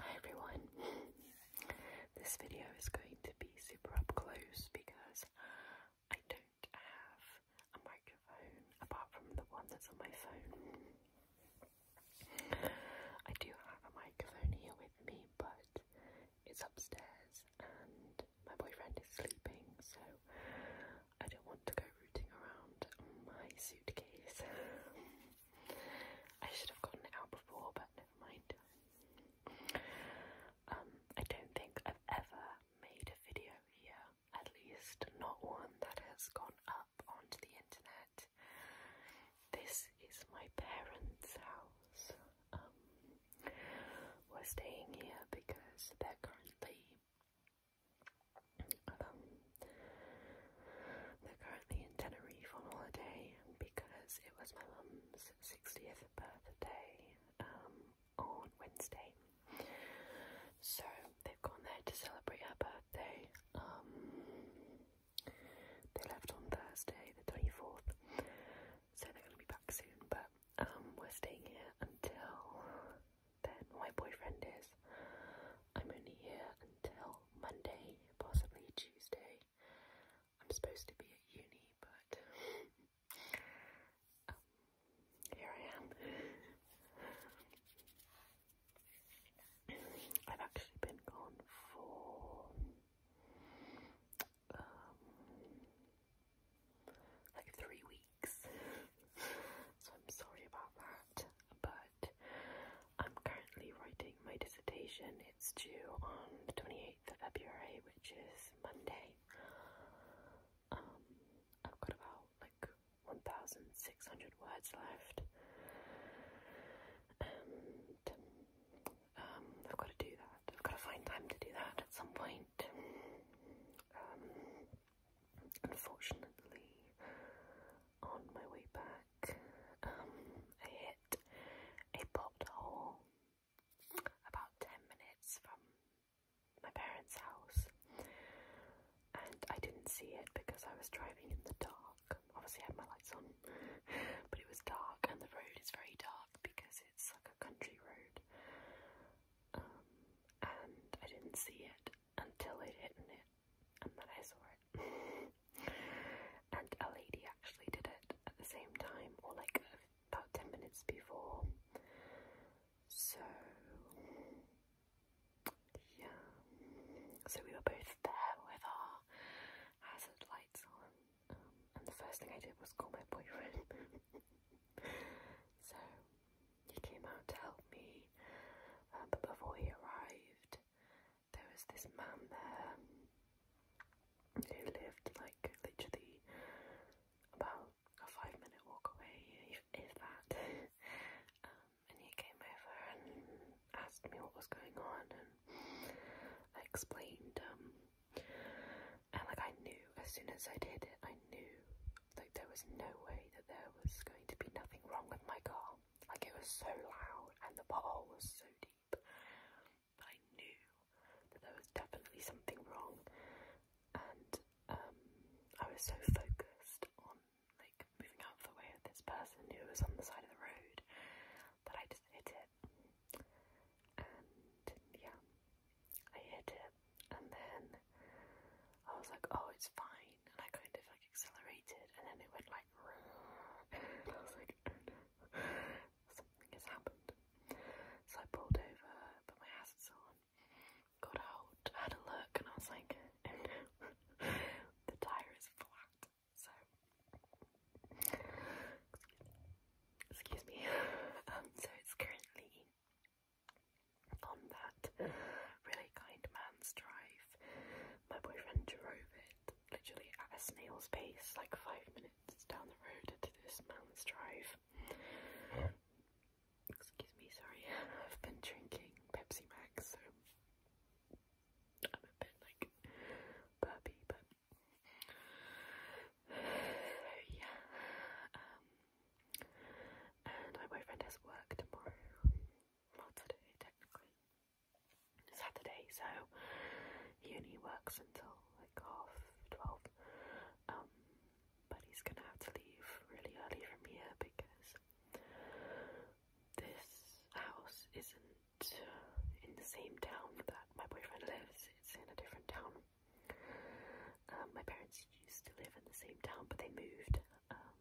Hi everyone. This video is going to be super up close because I don't have a microphone apart from the one that's on my phone. I do have a microphone here with me, but it's upstairs and my boyfriend is sleeping, so I don't want to go rooting around my suitcase. I should have gotten it out before, but never mind. Um, I don't think I've ever made a video here, at least not one that has gone up onto the internet. This is my parents' house. Um, we're staying here because they're currently um, they're currently in Tenerife on holiday because it was my mum's 60th birthday um, on Wednesday. So they've gone there to celebrate her birthday. Um, they left on Thursday the 24th, so they're going to be back soon. But um, we're staying here until then. My boyfriend is. I'm only here until Monday, possibly Tuesday. I'm supposed to be at uni, but um, here I am. I've actually been gone for um, like three weeks. so I'm sorry about that. But I'm currently writing my dissertation. It's due on the 28th of February, which is Monday. Um, I've got about like 1,600 words left. And um, I've got to do that. I've got to find time to do that at some point. Um, unfortunately, on my way back, um, I hit a pothole about 10 minutes from my parents' house, and I didn't see it because I was driving in the dark. Obviously, I had my lights on, but it was dark, and the road is very dark because it's like a country road. Um, and I didn't see it until I'd hit it, and then I saw it. and a lady actually did it at the same time, or like about 10 minutes before. So, yeah. So we were both there with our hazard lights on, and the first thing I did was call my boyfriend. so he came out to help me, uh, but before he arrived, there was this man there who lived like literally about a five minute walk away, if, that. Um, and he came over and asked me what was going on, and I explained um, and like I knew as soon as I did it, I knew like there was no way that there was going to be nothing wrong with my car. Like it was so loud and the pothole was so deep. I knew that there was definitely something wrong. And um I was so focused on like moving out of the way of this person who was on the side of the road but I just hit it. And yeah, I hit it. And then I was like, oh, it's fine. And I kind of like accelerated, and then it went like, and I was like, oh no, something has happened. So I pulled over, put my hazards on, got out, had a look, and I was like, the tyre is flat. So, excuse me. Um, so it's currently on that really kind man's drive. My boyfriend drove it literally at a snail's pace, like five minutes down the road to this man's drive. Excuse me, sorry. I've been drinking Pepsi Max, so I'm a bit like burpy, but yeah. Um, and my boyfriend has work tomorrow. Well, today, technically. Saturday, so he only works until like half twelve. Um, but he's gonna have to leave really early from here because this house isn't in the same town that my boyfriend lives. It's in a different town. Um, my parents used to live in the same town, but they moved um,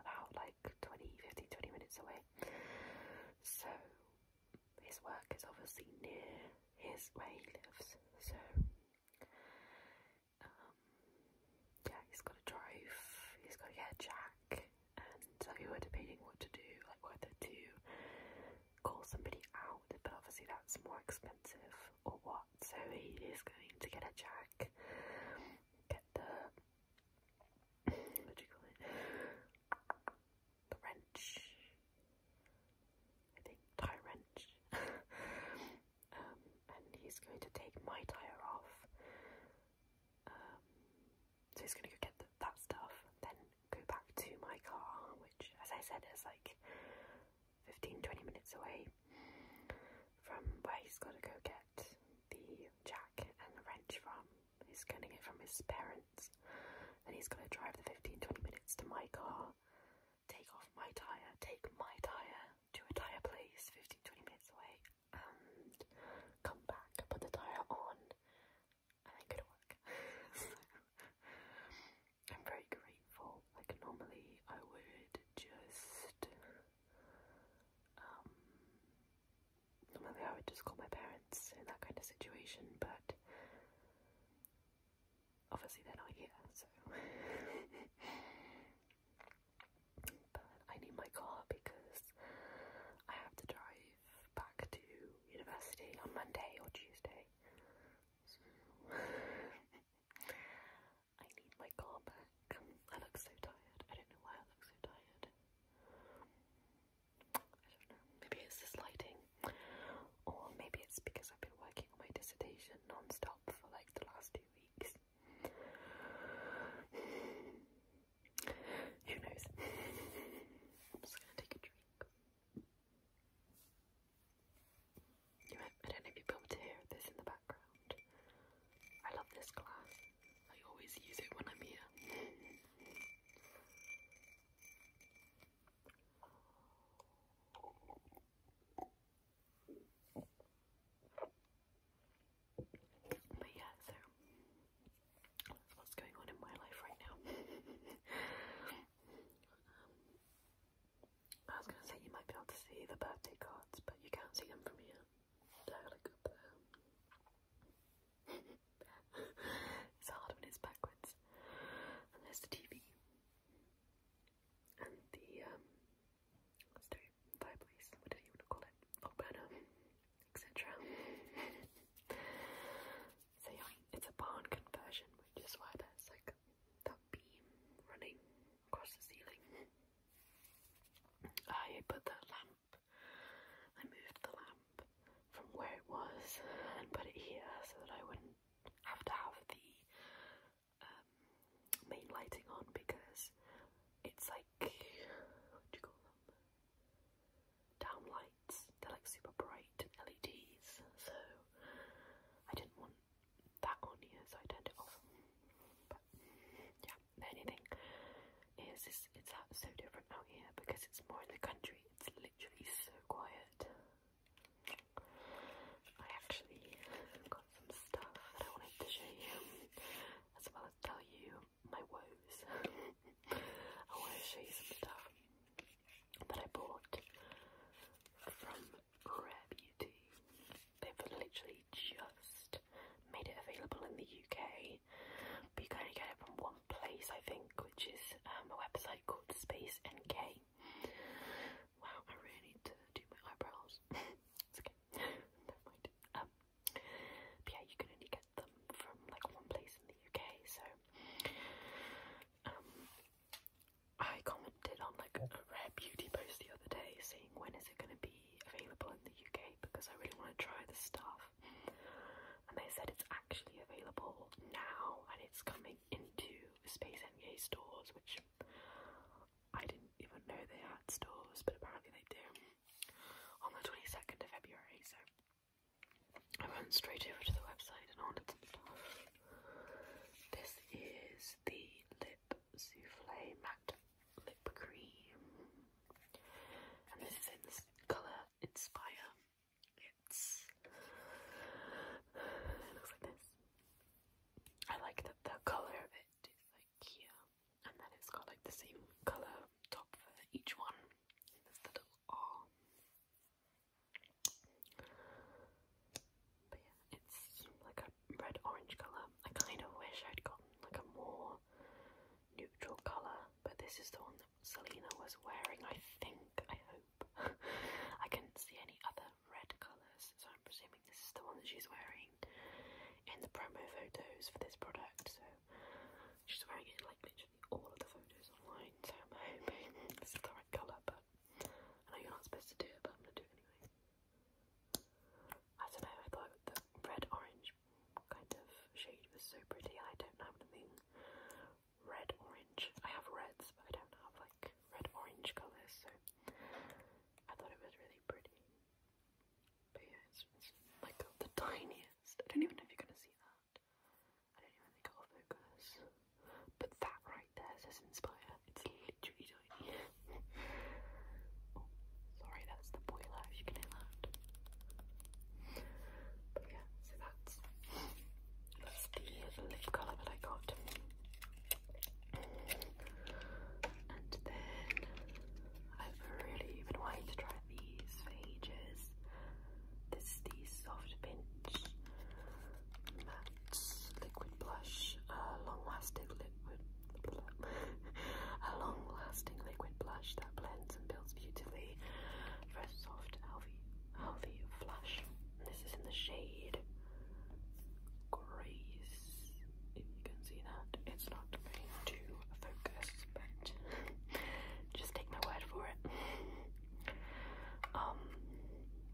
about like 20, 15, 20 minutes away. So his work is obviously near his where he lives. So um, yeah, he's got to drive. He's got to get a jack and so we were debating what to do, like whether to call somebody out, but obviously that's more expensive or what. So he is going to get a jack, get the what do you call it? The wrench. I think tie wrench. um, and he's going to take my tire off um, so he's gonna go get that stuff, then go back to my car, which, as I said, is like 15 20 minutes away from where he's gotta go get the jack and the wrench from. He's getting it from his parents, and he's gonna drive the 15 20 minutes to my car, take off my tyre, take my tyre to a tyre place 15 20 minutes away, and come back, put the tyre on and I go to work. I'm very grateful. Like normally I would just um normally I would just call my parents in that kind of situation, but obviously they're not here, so but I need my car because I have to drive back to university on Monday or Tuesday. I need my car back. I look so tired. I don't know why I look so tired. I don't know. Maybe it's this lighting. Or maybe it's because I've been working on my dissertation non-stop for like the last two weeks. Who knows? I'm just gonna take a drink. You might, I don't know if you'll be to hear this in the background. I love this glass. I always use it when I'm here. But yeah, so that's what's going on in my life right now. um, I was gonna say you might be able to see the birthday cards, but you can't see them from here. They're like up there. it's hard when it's backwards. And there's the TV. And the um, let's do fireplace, whatever you want to call it, hot etc. so yeah, it's a barn conversion, which is why there's like that beam running across the ceiling. I put the lamp, I moved the lamp from where it was and put it here so that I wouldn't have to have the um, main lighting on because it's like, what do you call them? downlights They're like super bright LEDs, so I didn't want that on here, so I turned it off. But yeah, anything is it's, it's so different out here because it's more in the country. It's literally so quiet. I actually got some stuff that I wanted to show you, as well as tell you my woes. I want to show you some stuff that I bought from Rare Beauty. They've literally just made it available in the UK, but you can only get it from one place, I think, which is um, a website called Space NK. Wow, I really need to do my eyebrows. okay, never mind. Um, yeah, you can only get them from like one place in the UK, so um I commented on like a rare beauty post the other day saying when is it gonna be available in the UK because I really want to try this stuff. And they said it's actually available now and it's coming into Space NK stores, which I didn't even know they had stores, but apparently they do. On the 22nd of February, so I went straight over to the website and ordered some stuff. This is the Lip Souffle Matte Lip Cream, and this is in this colour Inspire. It's looks like this. I like that the colour of it is like and then it's got like the same colour top for each one. There's the little R. But yeah, it's like a red orange colour. I kind of wish I'd gotten like a more neutral colour, but this is the one that Selena was wearing, I think. I hope. I couldn't see any other red colours, I'm this is the one that she's wearing in the promo photos for this product. So she's wearing it like literally all of the photos online. So I'm hoping this is the right colour, but I know you're not supposed to do it, but I'm gonna do anyway. I don't know, I thought the red orange kind of shade was so pretty, I don't have anything red orange. I have reds, but I don't have like red orange colours, so I thought it was really pretty. But yeah, it's, like the tiniest. I don't even know if you're gonna see that. I don't even think I'll focus. But that right there says Inspire. It's literally tiny. oh, sorry, that's the boiler, if you can hear that. But yeah, so that's, that's the lip colour that I got. And then I've really been wanting to try these for ages. This is the Soft Pinch Matte Liquid Blush, uh, long lasting liquid, a long lasting liquid blush that blends and builds beautifully for a soft, healthy, healthy flush. this is in the shade crease, if you can see that. It's not going to focus, but just take my word for it. um,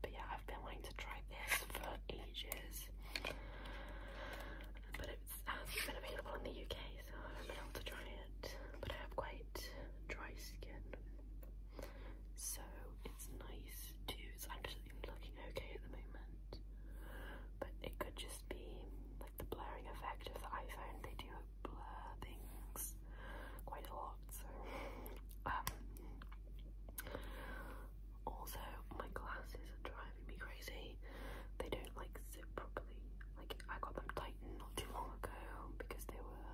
but yeah, I've been wanting to try this for ages, but it's hasn't uh, been available in the UK, so I haven't been able to try it. But I have quite dry skin, so it's nice too. It's actually looking okay at the moment, but it could just be like the blurring effect of the iPhone. They do blur things quite a lot. So, um, also my glasses are driving me crazy. They don't like sit properly. Like I got them tightened not too long ago because they were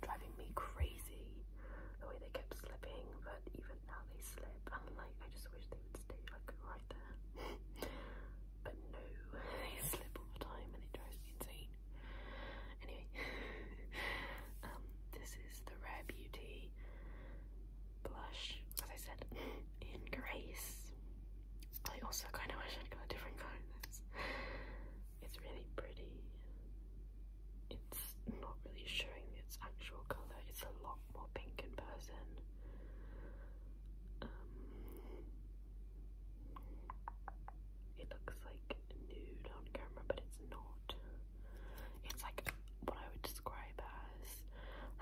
driving me crazy. The way they kept slipping, but even now they slip and like I just wish they would stay like right there but no they slip all time and it drives me insane anyway um this is the Rare Beauty blush as I said in Grace I also kind of wish I'd got a different colour in this it's really pretty it's not really showing its actual colour. It's a lot more pink in person. Um, it looks like nude on camera, but it's not. It's like what I would describe as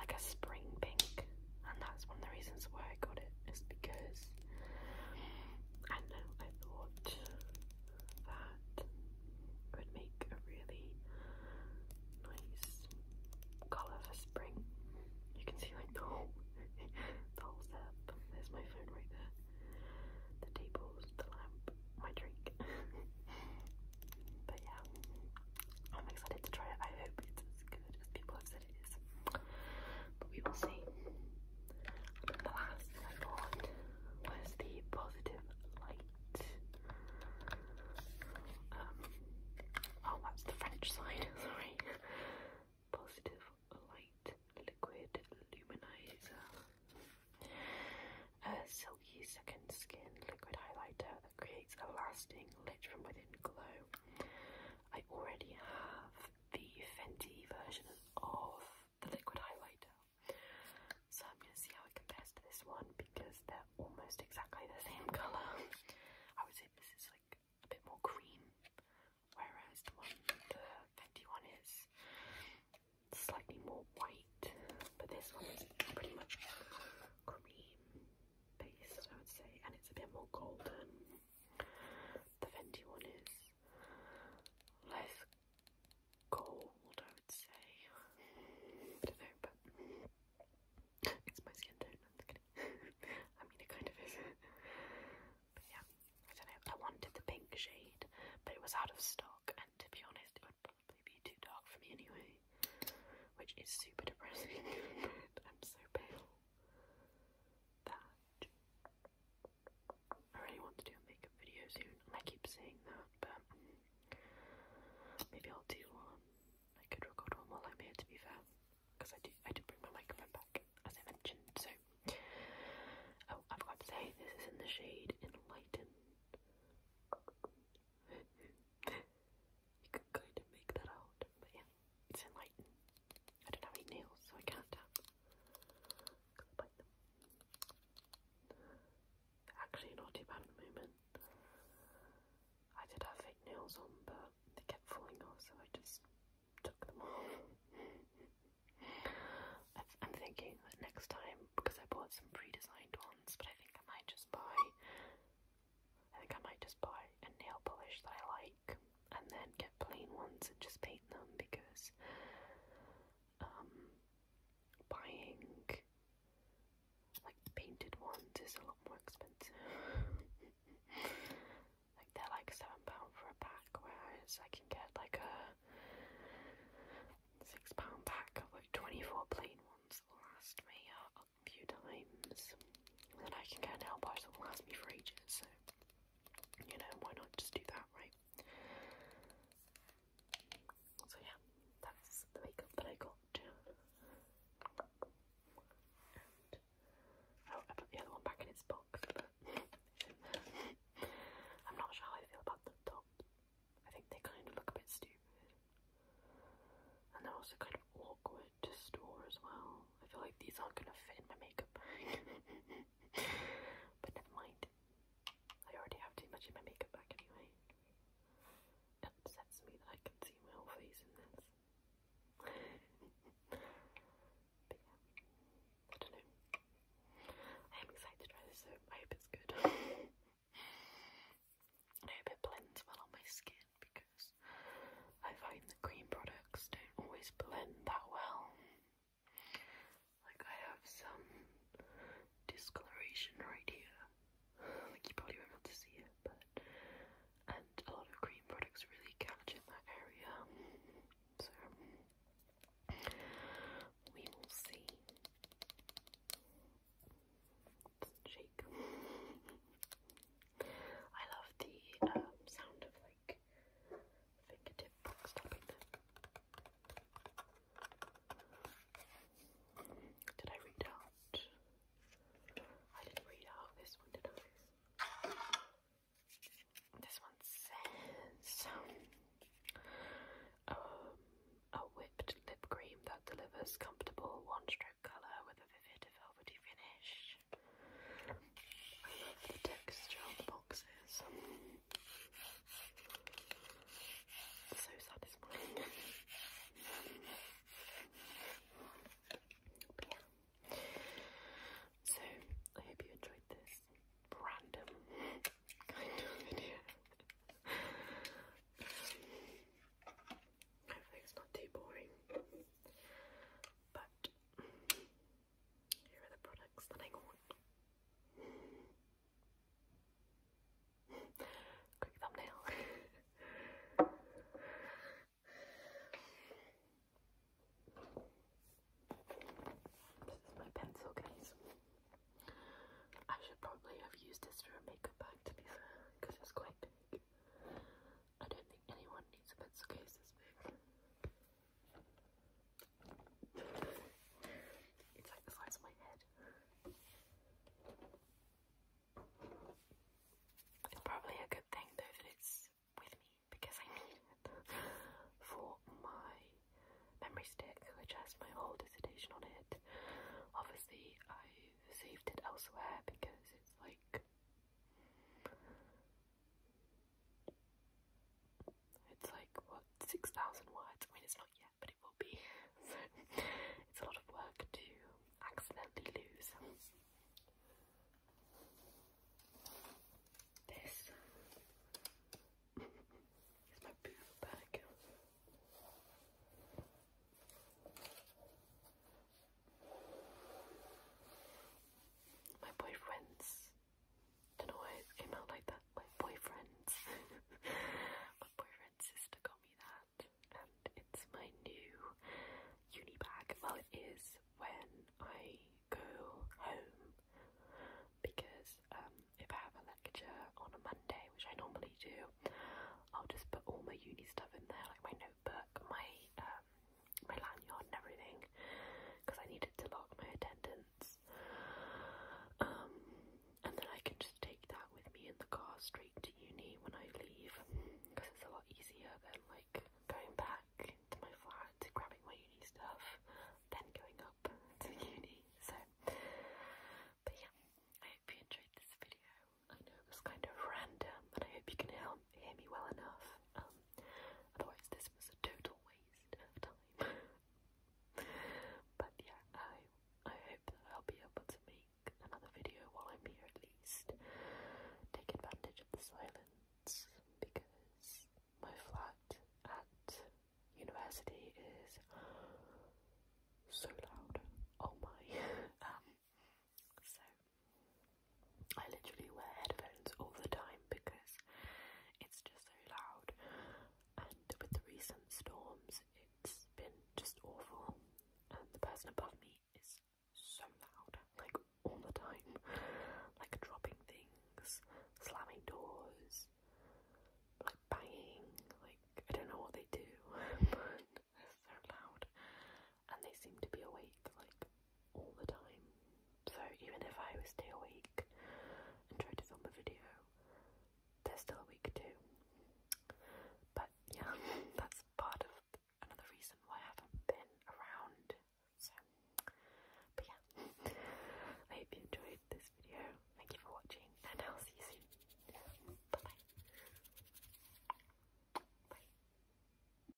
like a spring pink, and that's one of the reasons why I got it. Is because I know I thought that that would make a really nice colour for spring. You can see like the whole, setup. There's my phone right there. The tables, the lamp, my drink. but yeah, I'm excited to try it. I hope it's as good as people have said it is. But we will see. last I bought was the Positive Light um, oh, that's the French side, sorry. Positive light liquid luminizer. A silky second skin liquid highlighter that creates a lasting lit from within glow. I already have the Fenty version of the liquid highlighter. So I'm going to see how it compares to this one because they're almost exactly the same colour. I would say this is like a bit more cream, whereas the one, the Fenty one is slightly more white, but this one is pretty much cream based, I would say, and it's a bit more golden. The Fenty one is less cold, I would say. I don't know, but it's my skin tone, i mean, it kind of is. but yeah, I don't know. I wanted the pink shade, but it was out of stock, and to be honest, it would probably be too dark for me anyway, which is super depressing. I'm so pale. That. I really want to do a makeup video soon, and I keep saying that, but maybe I'll do one. I could record one while I'm here, to be fair, because I do I do bring my microphone back, as I mentioned. So, oh, I forgot to say this is in the shade Enlighten. you could kind of make that out, but yeah, it's Enlighten. I don't have any nails, so I can't tap actually naughty about at the moment. I did have fake nails on, but they kept falling off, so I just took them off. I'm thinking that next time, because I bought some pre-designed ones, but I think I might just buy, I think I might just buy a nail polish that I like, and then get plain ones and just paint them, because um, buying like painted ones is a lot more expensive. like they're like seven pound for a pack, whereas I can get like a six pound pack of like twenty four plain ones that will last me a, few times. And then I can get an nail polish that will last me for ages. So you know why not just do that, right? So yeah, that's the makeup that I got. Oh, I put the other one back in its box, but I'm not sure how I feel about the tops. I think they kind of look a bit stupid. And they're also kind of awkward to store as well. I feel like these aren't going to fit in my makeup but never mind. I already have too much in my makeup bag anyway. It upsets me that I can see my whole face in this. but yeah, I don't know. I am excited to try this, so I hope it's good. I hope it blends well on my skin because I find the cream products don't always blend that well. Like I have some discoloration right here. Like you probably won't able to see it, but and a lot of cream products really catch in that area. So we will see. Shake. I love the um, sound of like fingertip stopping Did I read out? I didn't read out this one, did I? This one says um, a whipped lip cream that delivers comfortable one-stroke colour with a vivid velvety finish. I love the texture of the boxes. So satisfying. but yeah. So I hope you enjoyed this random kind of video. Hopefully it's not too boring. But here are the products that I want. Quick thumbnail. this is my pencil case. I should probably have used this for a makeup bag to be fair, because it's quite big. I don't think anyone needs a pencil case this big. It's like the size of my head. It's probably a good thing though that it's with me because I need it for my memory stick, which has my whole dissertation on it. Obviously, I saved it elsewhere because it's like it's like, what, 6,000 words? I mean, it's not yet, but it will be. So it's a lot of work to accidentally lose. This is my boob bag. My boyfriend's I don't know why it came out like that. My boyfriend's. my boyfriend's sister got me that. And it's my new uni bag. Well, it is when I go home. Because um, if I have a lecture on a Monday, which I normally do, I'll just put all my uni stuff in there, like my notebook, my uh, my lanyard and everything because I needed to lock my attendance. Um, and then I can just take that with me in the car straight to uni when I leave because it's a lot easier than like going back to my flat, grabbing my uni stuff, then going up to uni. So, but yeah, I hope you enjoyed this video. I know it was kind of random, but I hope you can help hear me well enough. Um, otherwise, this was a total waste of time. but yeah, I I hope that I'll be able to make another video while I'm here at least. Take advantage of the silence because my flat at university is so loud. Oh my. um, so I literally wear headphones all the time because it's just so loud. And with the recent storms, it's been just awful. And the person above me is so loud, like all the time, like dropping things, slamming doors, like banging. Like I don't know what they do, but they so loud and they seem to be awake like all the time. So even if I was stay awake and try to film a video, they're still awake too. But yeah, that's part of another reason why I haven't been around. So, but yeah, I hope you enjoyed this video. Thank you for watching, and I'll see you soon. Bye bye. Bye.